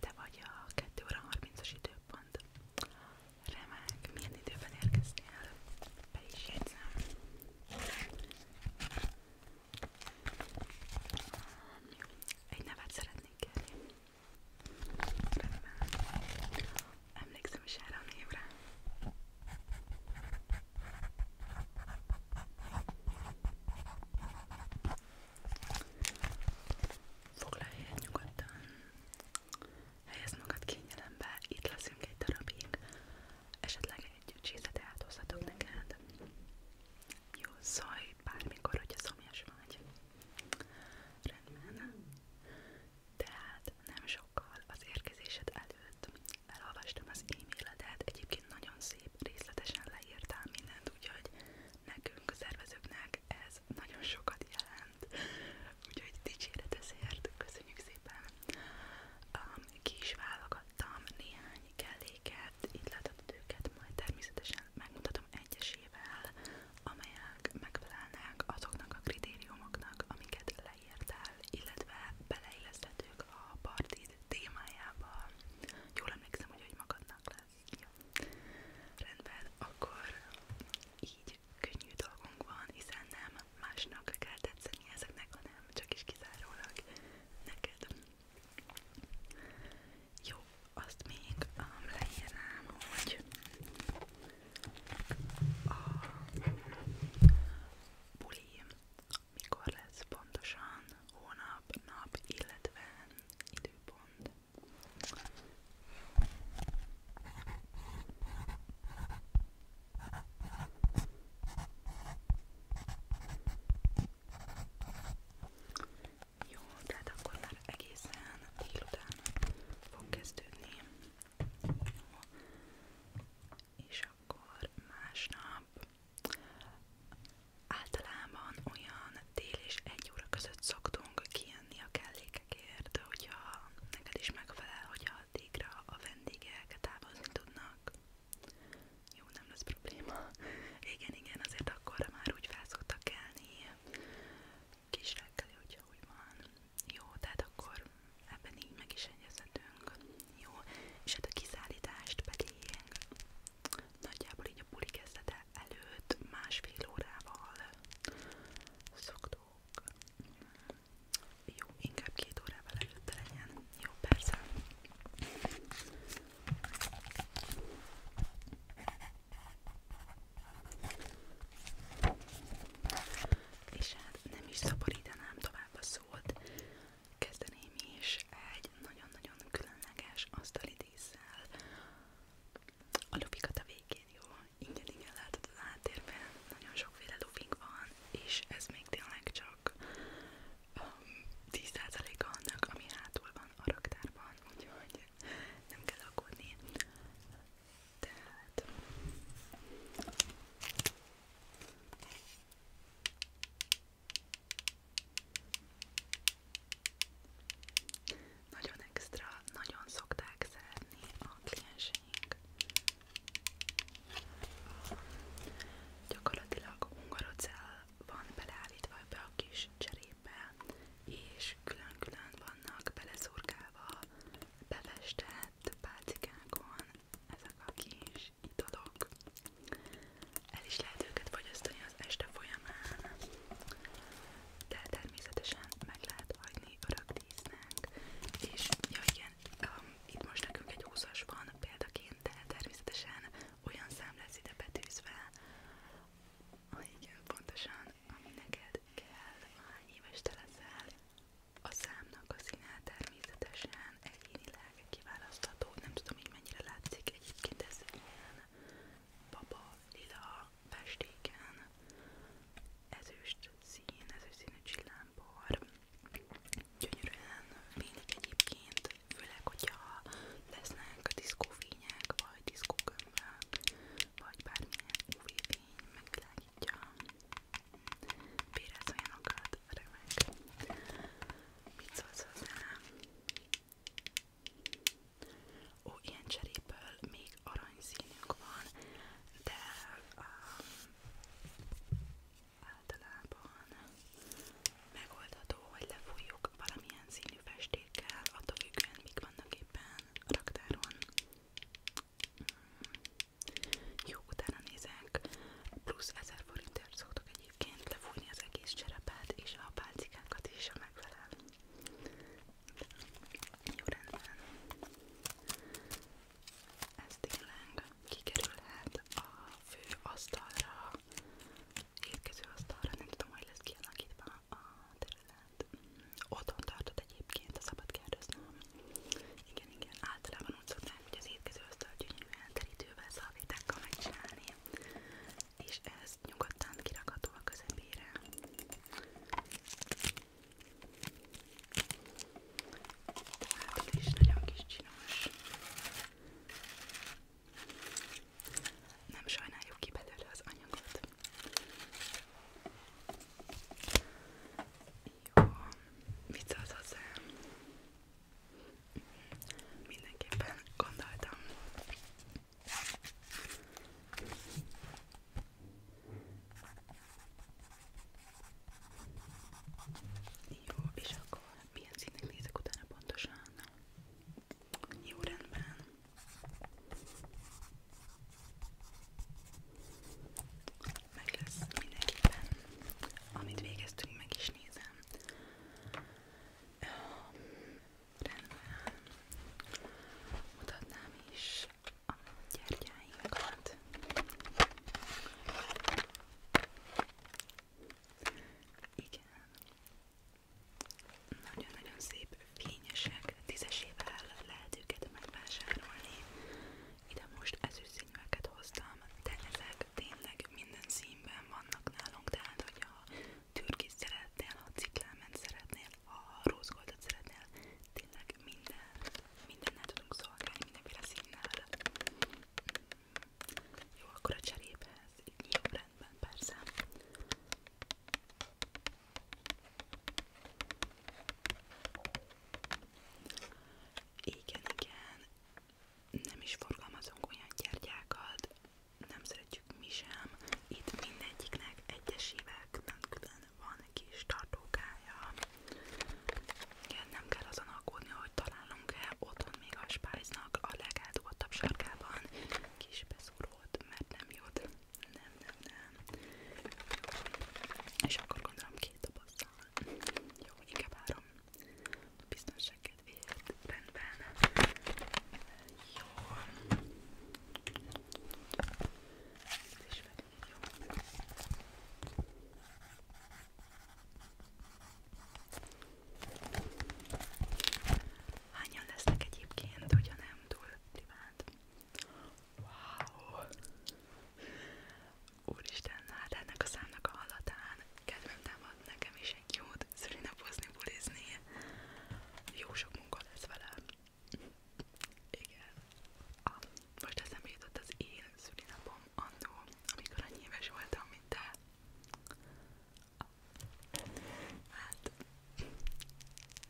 te vagy a 2 óra 30-as időpont. Remek, milyen időben érkeztél? Be is jegyzem. Egy nevet szeretnék kérni. Remek. Emlékszem is erre a névre. Foglalj helyet nyugodtan, helyezd magad kényelembe, itt leszünk egy darabig, esetleg egy csízet elhozhatok neked. Jó, szólj bármikor, hogyha szomjas vagy. Rendben. Tehát nem sokkal az érkezésed előtt elolvastam az e-mailedet, egyébként nagyon szép, részletesen leírtál minden mindent, úgyhogy nekünk, a szervezőknek ez nagyon sokat jelent. Úgyhogy dicséret ezért, köszönjük szépen! Um, ki is válogattam néhány kelléket, itt láthatod őket, majd természetesen megmutatom egyesével, amelyek megfelelnek azoknak a kritériumoknak, amiket leírtál, illetve beleilleszthetők a partid témájába. Jól emlékszem, hogy hogy magadnak le jó. Rendben, akkor így könnyű dolgunk van, hiszen nem másnak kell tetszeni ezeknek, hanem csak is kizárólag neked. Jó, azt még um, leírnám, hogy a buli mikor lesz pontosan, hónap, nap, illetve időpont. Jó, tehát akkor már egészen délután fog kezdődni. Jó. És akkor másnap Általában olyan tél és egy óra között szoktunk kijönni a kellékekért, de hogyha neked is megfelel, hogy addigra a vendégek távozni tudnak. Jó, nem lesz probléma. Igen, igen, azért akkor már úgy fel szoktak kelni. Kis reggeli, hogyha úgy van. Jó, tehát akkor ebben így meg is egyezhetünk. Jó, és hát a kiszállítást pedig nagyjából így a buli kezdete előtt másfél órával szoktuk. Jó, inkább két órával előtte legyen. Jó, persze. És hát nem is szaporítanám tovább a szót, kezdeném is egy egy nagyon-nagyon különleges asztali díszsel. A lufikat a végén jó, ingyen igen látod az háttérben, nagyon sokféle lufink van, és ez még tényleg csak um, 10%-a annak, ami hátul van a raktárban, úgyhogy nem kell aggódni. Tehát... Nagyon extra, nagyon szokták szeretni a klienseink. Gyakorlatilag hungarocell van beleállítva be a kis cserépbe, és külön-külön vannak beleszurkálva, bevestett pálcikákon ezek a kis italok. El is lehet őket fogyasztani az este folyamán, de természetesen meg lehet hagyni örökdísznek. És ja igen, um, itt most nekünk egy 20-as van példaként, de természetesen olyan szám lesz ide betűzve, ah, igen, pontosan, ami neked kell, hány éves te leszel. A számnak a színe természetesen egyénileg kiválasztható, nem tudom így mennyire látszik, egyébként ez ilyen baba, lila, festéken, ezüst szín, ezüst színű csillámpor, gyönyörűen fénylik egyébként, főleg, hogyha lesznek diszkófények, vagy diszkókömbök, vagy bármilyen UV-fény megvilágítja, bérez olyanokat, remek. Mit szólsz hozzá? Ó, ilyen cseréből még aranyszínünk van, de um, általában megoldható, hogy lefújjuk valamilyen színű festékkel, attól függően mik vannak éppen a raktáron. Mm. Jó, utána nézek, plusz 1000 forintért szoktok egy egyébként lefújni az egész cserepát és a pálcikákat is, ha megfelel. Jó rendben. Ez tényleg kikerülhet a fő asztalra, érkező asztalra, nem tudom, hogy lesz kialakítva a terület. Otthon tartott egyébként, a szabad kérdeznem. Igen, igen, általában úgy szokták, hogy az étkező asztal gyönyörűen terítővel szalvétákkal megcsinálni és ez nyugodtan kirakható a közepére. Hátul is nagyon kis csinos. Nem sajnáljuk ki belőle az anyagot. Jó, vicc az hozzá. Mindenképpen gondoltam. Jó, és akkor milyen színnek nézek utána pontosan? Jó rendben. Meg lesz mindenképpen. Amit végeztünk, meg is nézem rendben mutatnám is a gyertyáinkat. Igen. Nagyon-nagyon szép fényesek, tízesével lehet őket megvásárolni. Ide most ezüstszínűeket hoztam, de ezek tényleg minden színben vannak nálunk, tehát hogyha türkit szeretnél, ha cikláment szeretnél, ha rózsgoltot szeretnél, tényleg minden, mindennel tudunk szolgálni, mindenféle színnel. Mm. Jó, akkor a cseréphez, így jó rendben, persze. Igen, igen, nem is forgalmazunk olyan gyertyákat, nem szeretjük mi sem. Itt mindegyiknek egyesével külön van kis tartókája. Igen, nem kell azon aggódni, hogy találunk-e otthon még a spájznak a legeldugottabb sarkában kis beszúrót, mert nem jut. Nem, nem, nem. Jó. És akkor gondolom két dobozzal. Jó, inkább három biztonság kedvéért rendben. Jó. Ezt is felírjam. Hányan lesznek egyébként, hogyha nem túl privált? Wow! Úristen, hát ennek a számnak a hallatán kedvem támad nekem is egy jót szülinapozni, bulizni. Jó sok munka lesz vele. Igen. Ah, most eszembe jutott az én szülinapom annó, amikor annyi éves voltam, mint te. Ah. Hát,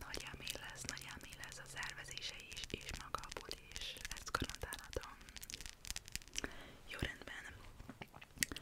nagy elmély lesz, nagy elmély lesz a szervezése is, és maga a buli is. Ezt garantálhatom. Jó rendben.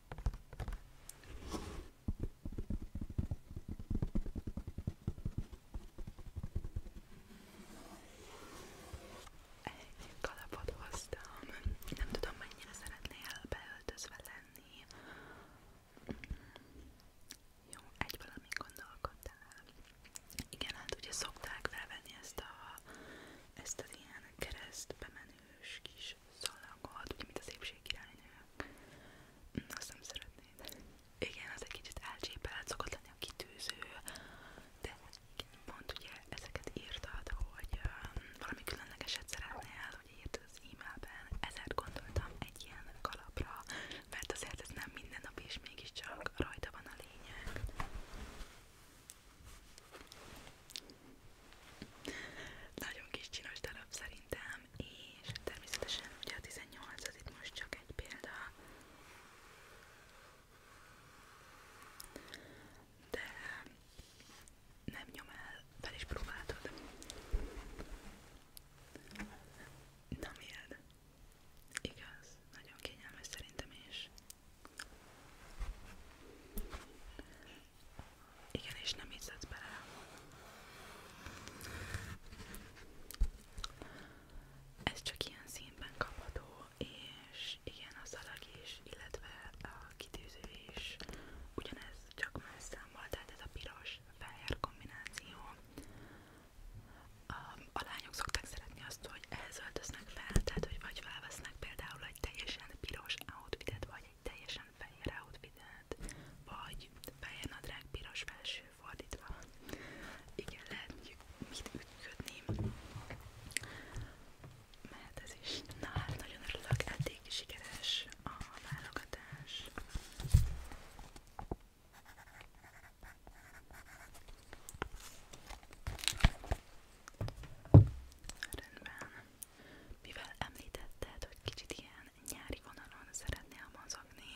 Köszönöm, hogy hoztam, nem tudom mennyire szeretnél beöltözve lenni. Jó, egy valamit gondolkodtál. Igen, hát ugye szokták felvenni ezt a ezt az ilyen keresztbemenős kis kis szalagot, ugye mint a szépség királynő. Hm, azt nem szeretnéd. Igen, az egy kicsit elcsépelt, szokott lenni a kitűző, de pont ugye ezeket írtad, hogy um, valami különlegeset szeretnél, hogy írtad az e-mailben, ezért gondoltam egy ilyen kalapra, mert azért ez nem minden nap is, mégiscsak rajta van a lényeg. Nagyon kis csinos darab szerintem, és természetesen ugye a 18 az itt most csak egy példa, de nem nyom el, fel is próbáltad. Na miért? Igaz, nagyon kényelmes szerintem is. Igen, és nem hiszed bele. Ez csak ilyen színben kapható, és igen, a szalag is, illetve a kitűző is ugyanez, csak más számmal, tehát ez a piros-fehér kombináció. A lányok szokták szeretni azt, hogy ehhez öltöznek fel, tehát hogy vagy felvesznek például egy teljesen piros outfitet, vagy egy teljesen fehér outfitet, vagy fehér nadrág piros felső fordítva. Igen, lehet mit ütködni. Mert ez is. Na hát nagyon örülök, eddig sikeres a válogatás. Rendben. Mivel említetted, hogy kicsit ilyen nyári vonalon szeretnél mozogni,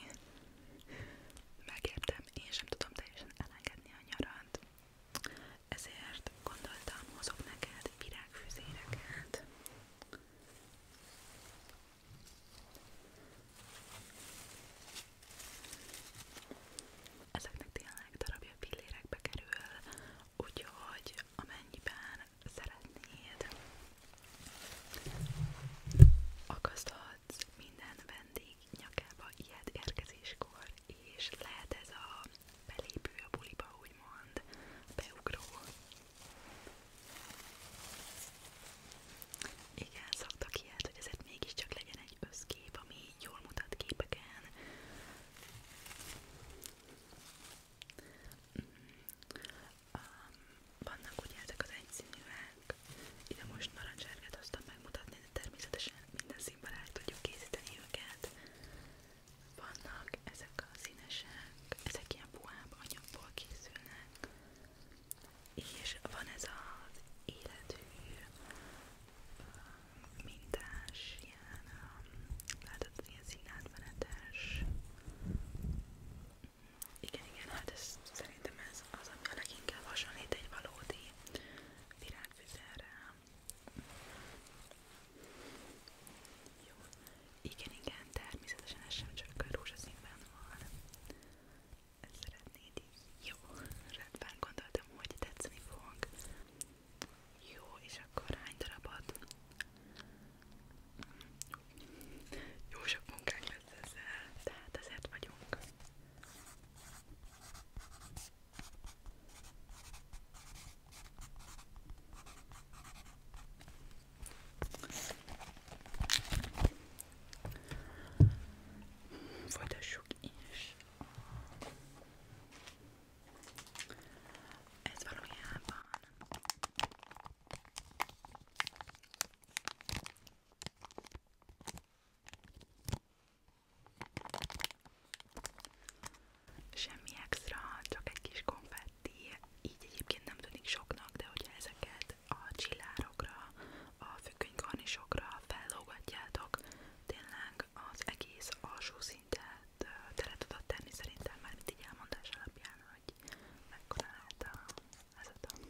megértem, én sem tudom teljesen elengedni a nyarat, ezért gondoltam, hozok neked virágfüzéreket. Ezeknek tényleg darabja pillérekbe kerül, úgyhogy amennyiben szeretnéd, akaszthatsz minden vendég nyakába ilyet érkezéskor, és lehet ez a belépő a buliba, úgymond, beugró. Igen, szoktak ilyet, hogy ezért mégiscsak legyen egy összkép, ami jól mutat képeken. Mm. Um, vannak ugye ezek az egyszínűek, ide most narancsárgát hoztam megmutatni, de természetesen minden színben el tudjuk készíteni őket. Vannak ezek a színesek, ezek ilyen puhább anyagból készülnek, és van ez az életű uh, mintás, ilyen, látod, ilyen színátmenetes. Igen, igen, hát ez, szerintem ez az, ami a leginkább hasonlít egy valódi virágfüzelre. Jó. Igen, igen, természetesen ez sem csak rózsaszínben van. Ezt szeretnéd így? Jó, rendben, gondoltam, hogy tetszeni fog. Jó, és akkor hány darabot? Jó sok munkánk lesz ezzel, tehát ezért vagyunk. Folytassuk is a ez valójában semmi extra, csak egy kis konfetti, így egyébként nem tűnik soknak, de hogyha ezeket a csillárokra, a függönykarnisokra fellógatjátok, tényleg az egész alsó szinttel mindent tele tudott tenni szerintem már mint így elmondás alapján, hogy mekkora lehet a, ez a tank.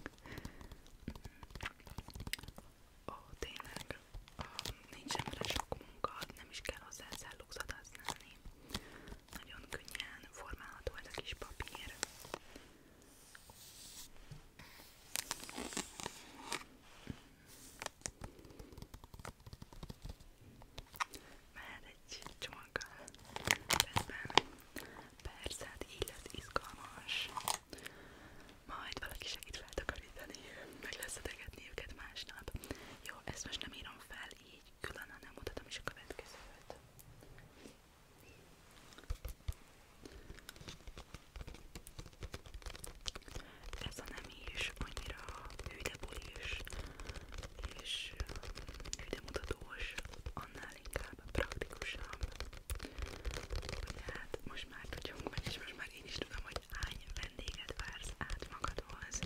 Ó, tényleg, nincs semmire sok munka, nem is kell hozzá szellugzat használni. Nagyon könnyen formálható ez a kis papír. Már egy csomaggal rendben. Persze, hát így lesz izgalmas. Majd valaki segít feltakarítani, meg lesz adegetni őket másnap. Jó, ezt most nem írom fel így külön, hanem mutatom is a következőt. Ez a nem buli is, annyira hűde buli is, és hűdemutatós, annál inkább praktikusabb. Ugye hát most már tudjunk meg, és most már én is tudom, hogy hány vendéget vársz át magadhoz,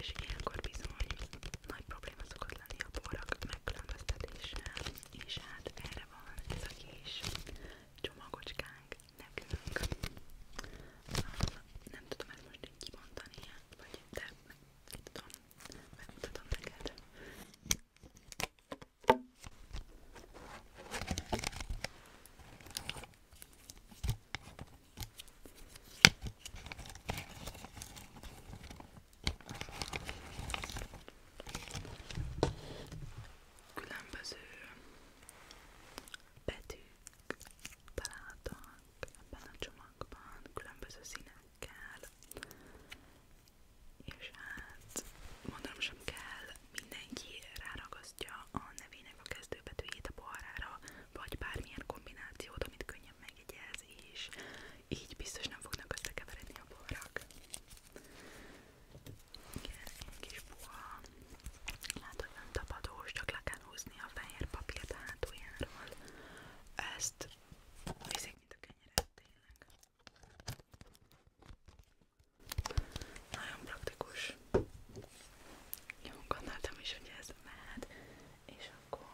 és ilyenkor bizony nagy probléma szokott lenni a borak megkülönböztetése, és hát erre van ez a kis csomagocskánk nekünk nem tudom ezt most így kimondani, hát, vagy de nem tudom, megmutatom neked. Különböző betűk találtak ebben a csomagban, különböző színekkel, és hát mondanom sem kell, mindenki ráragasztja a nevének a kezdőbetűjét a poharára, vagy bármilyen kombinációt, amit könnyen megjegyez, és így biztos nem fognak összekeveredni a poharak. Igen, egy kis puha Látod, hogy nem tapadós, csak le kell húzni a fehér papírt a hátuljáról. Ezt viszik, mint a kenyeret, tényleg. Nagyon praktikus. Jó, gondoltam is, hogy ez mehet, és akkor...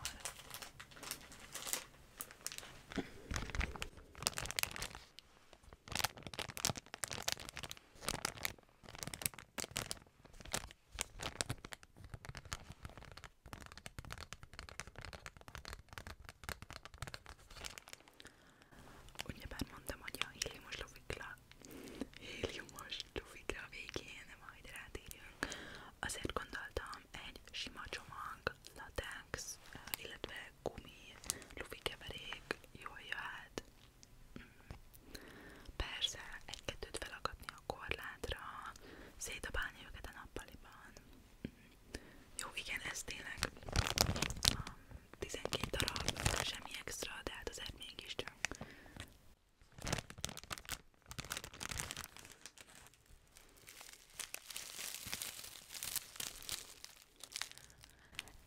Ugyebár mondtam, hogy a héliumos lovikra, héliumos lovikra végén majd rátérjünk. Azért gondoltam egy sima csomag, latex, illetve gumi, lufikeverék jól jöhet. Persze, egy-kettőt felakadni a korlátra, szétdobálni őket a nappaliban. Jó, igen, ez tényleg a um, 12 darab, semmi extra, de hát azért mégiscsak.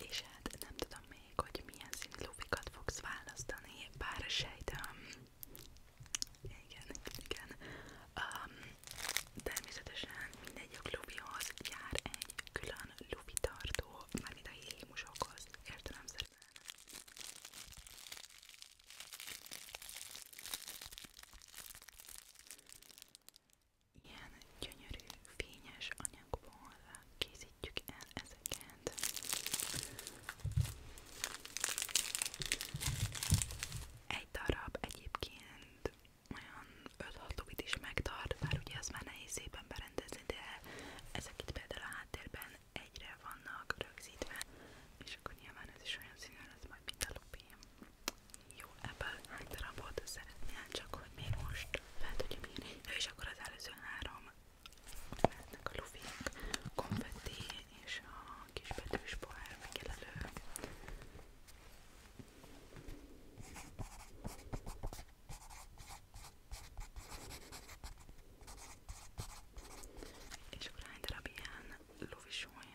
És hát nem tudom, még, hogy milyen színű lufikat fogsz választani, bár sejtem. Igen, igen. Um, természetesen mindegyik lufihoz jár egy külön lufi tartó, mármint a hémusokhoz, értelemszerűen. Ilyen gyönyörű, fényes anyagból készít készítjük el ezeket. Egy darab egyébként olyan 5-6 óvit is megtart, bár ugye az már nehéz szépen berendezni, de ezek itt például a háttérben egyre vannak rögzítve, és akkor nyilván ez is olyan színű lesz majd, mint a lupém. Jó, ebből hány darabot szeretnél, csak hogy még most fel tudjam írni. És akkor az előző három Lehetnek a lufik, konfetti és a kisbetűs pohár megjelölő. És akkor hány darab ilyen lufisoly?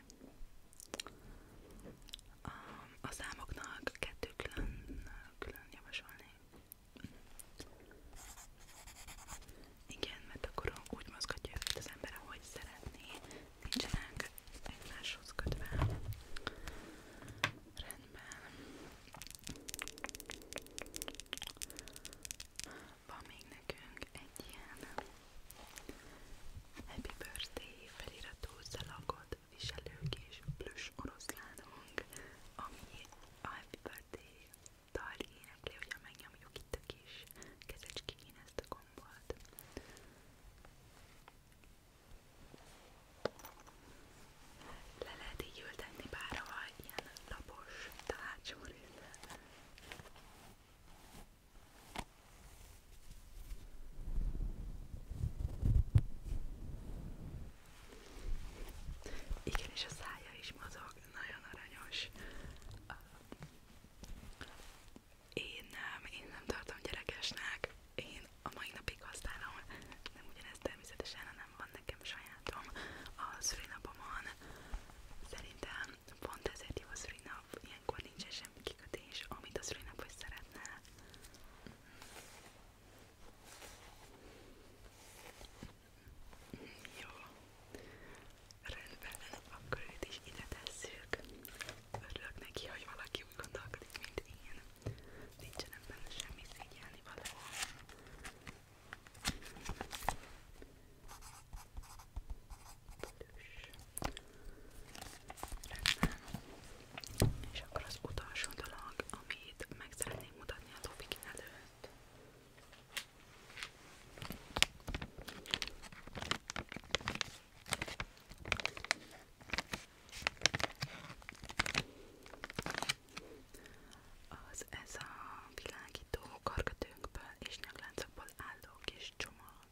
A számoknak kettő külön, külön javasolni. Igen, mert akkor úgy mozgatja őket az ember, ahogy szeretné. Nincsenek egymáshoz kötve. Rendben. Van még nekünk egy ilyen Happy Birthday feliratú szalagot viselő kis plusz oroszlánunk, ami a Happy Birthday dal énekli, hogyha megnyomjuk itt a kis kezecskén ezt a gombot. Le lehet így ültetni bárhova ilyen lapos tárcsú részlet. Igen, és a szája is mozog, nagyon aranyos. Én nem, én nem tartom gyerekesnek. Én a mai napig használom, nem ugyanez természetesen, hanem van nekem sajátom a szülinapomon. Szerintem pont ezért jó a szülinap, ilyenkor nincsen semmi kikötés, amit a szülinap is szeretne. Jó. Rendben, akkor őt is ide tesszük. Örülök neki, hogy valaki úgy gondolkodik, mint én. Nincsen benne semmi szégyelni való. Rendben. És akkor az utolsó dolog, amit meg szeretnék mutatni a topik előtt, az ez a világító karkötőnkből és nyakláncokból álló kis csomag.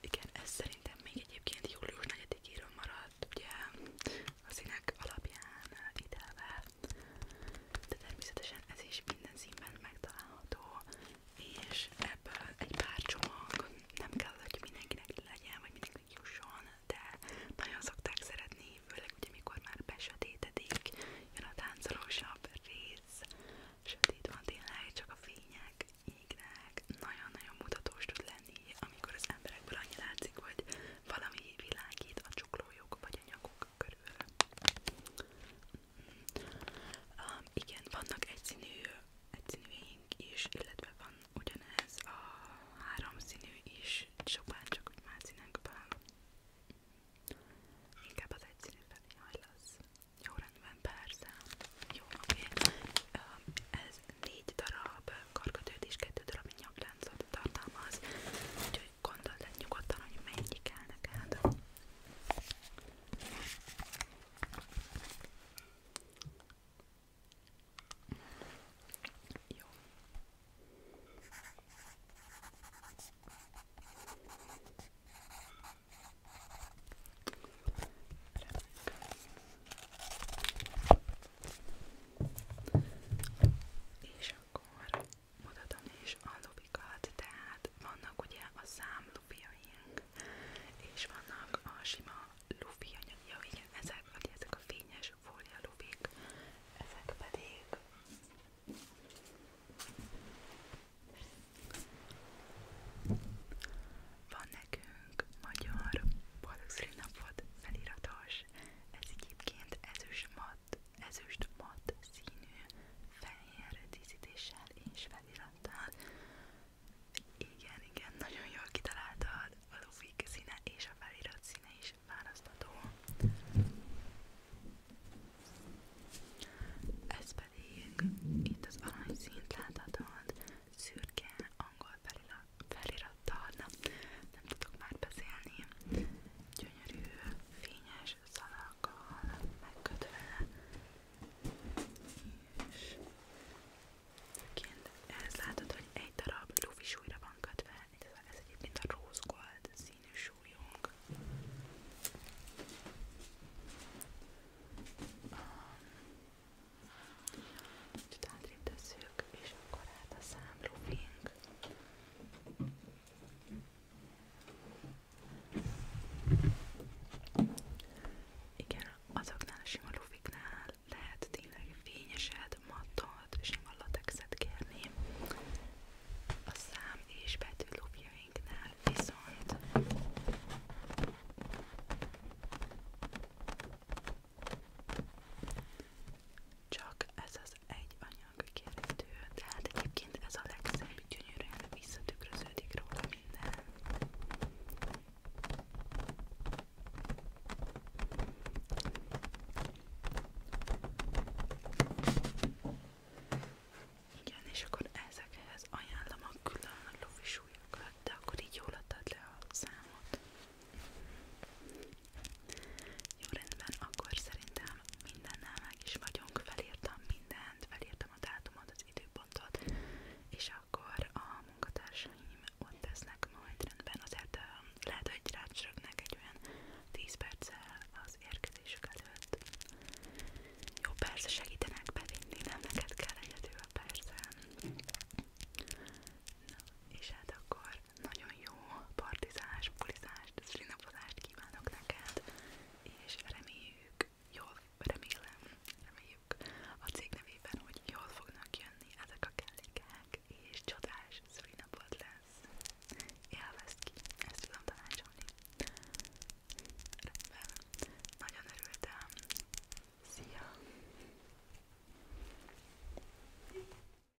Igen, ez szerintem még egyébként július 4-éről maradt, ugye a színek alapján ide de természetesen ez is minden színben megtalálható, és ebből egy pár csomag nem kell, hogy mindenkinek legyen, vagy mindenkinek jusson, de nagyon szokták szeretni, főleg ugye mikor már besötétedik, jön a táncolósabb rész, sötét van tényleg, csak a fények égnek, nagyon-nagyon mutatós tud lenni, amikor az emberekből annyi látszik, hogy valami világít a csuklójuk vagy a nyakuk lakok körül. Um, igen, vannak egyszínű egyszínűink is, illetve van ugyanez a háromszínű is, csupán csak úgy más színekben. Inkább az egyszínű felé hajlasz. Jó rendben, persze. Jó, oké. Okay. Um, ez négy darab karkötőt és kettő darab nyakláncot tartalmaz, úgyhogy gondold el nyugodtan, hogy mennyi kell neked. Jó. Remek. És akkor mutatom is a lubikat, tehát vannak ugye a szám lupiaink, és vannak a sima lufi ja, igen, ezek, ugye ezek a fényes fólia lubik, ezek pedig van nekünk magyar boldogszülinapot feliratos, ez egyébként ezüst ma alatt ezüst mat színű fehér díszítéssel és felirattal. Igen, igen, nagyon jól kitaláltad, a lufik színe és a felirat színe is választható. Ez pedig itt az aranyszínt láthatod, szürke angol felirat fáradtal, nem, nem tudok már beszélni. Gyönyörű, fényes szalakkal megkötve, és kint ehhez látod, hogy egy darab lufi súlyra van kötve, ez egyébként a rose gold színű súlyunk. Kicsit átrébb tesszük, és akkor hát a számlufink. Igen, azoknál a sima lufiknál lehet tényleg fényeset, mattot, sima latexet kérni. A szám és betű lufjainknál viszont csak ez az egy anyag kérhető, tehát egyébként ez a legszebb, gyönyörűen visszatükröződik róla minden. Igen, és akkor ezekhez ajánlom a külön lovisúlyokat, de akkor így jól adtad le a számot. Jó rendben, akkor szerintem mindennel meg is vagyunk, felírtam mindent, felírtam a dátumot, az időpontot, és akkor a munkatársaim ott tesznek majd rendben, azért lehet, hogy rácsörögnek egy olyan 10 perccel az érkezésük előtt. Jó, persze segítenek bevinni, nem neked kell egyedül, persze. Na, és hát akkor nagyon jó partizás, bulizás, szlinapozást kívánok neked, és reméljük, jól, remélem, reméljük a cég nevében, hogy jól fognak jönni ezek a kellékek, és csodás szülinapod lesz. Élvezd ki, ezt tudom tanácsolni. Rendben, nagyon örültem. Szia!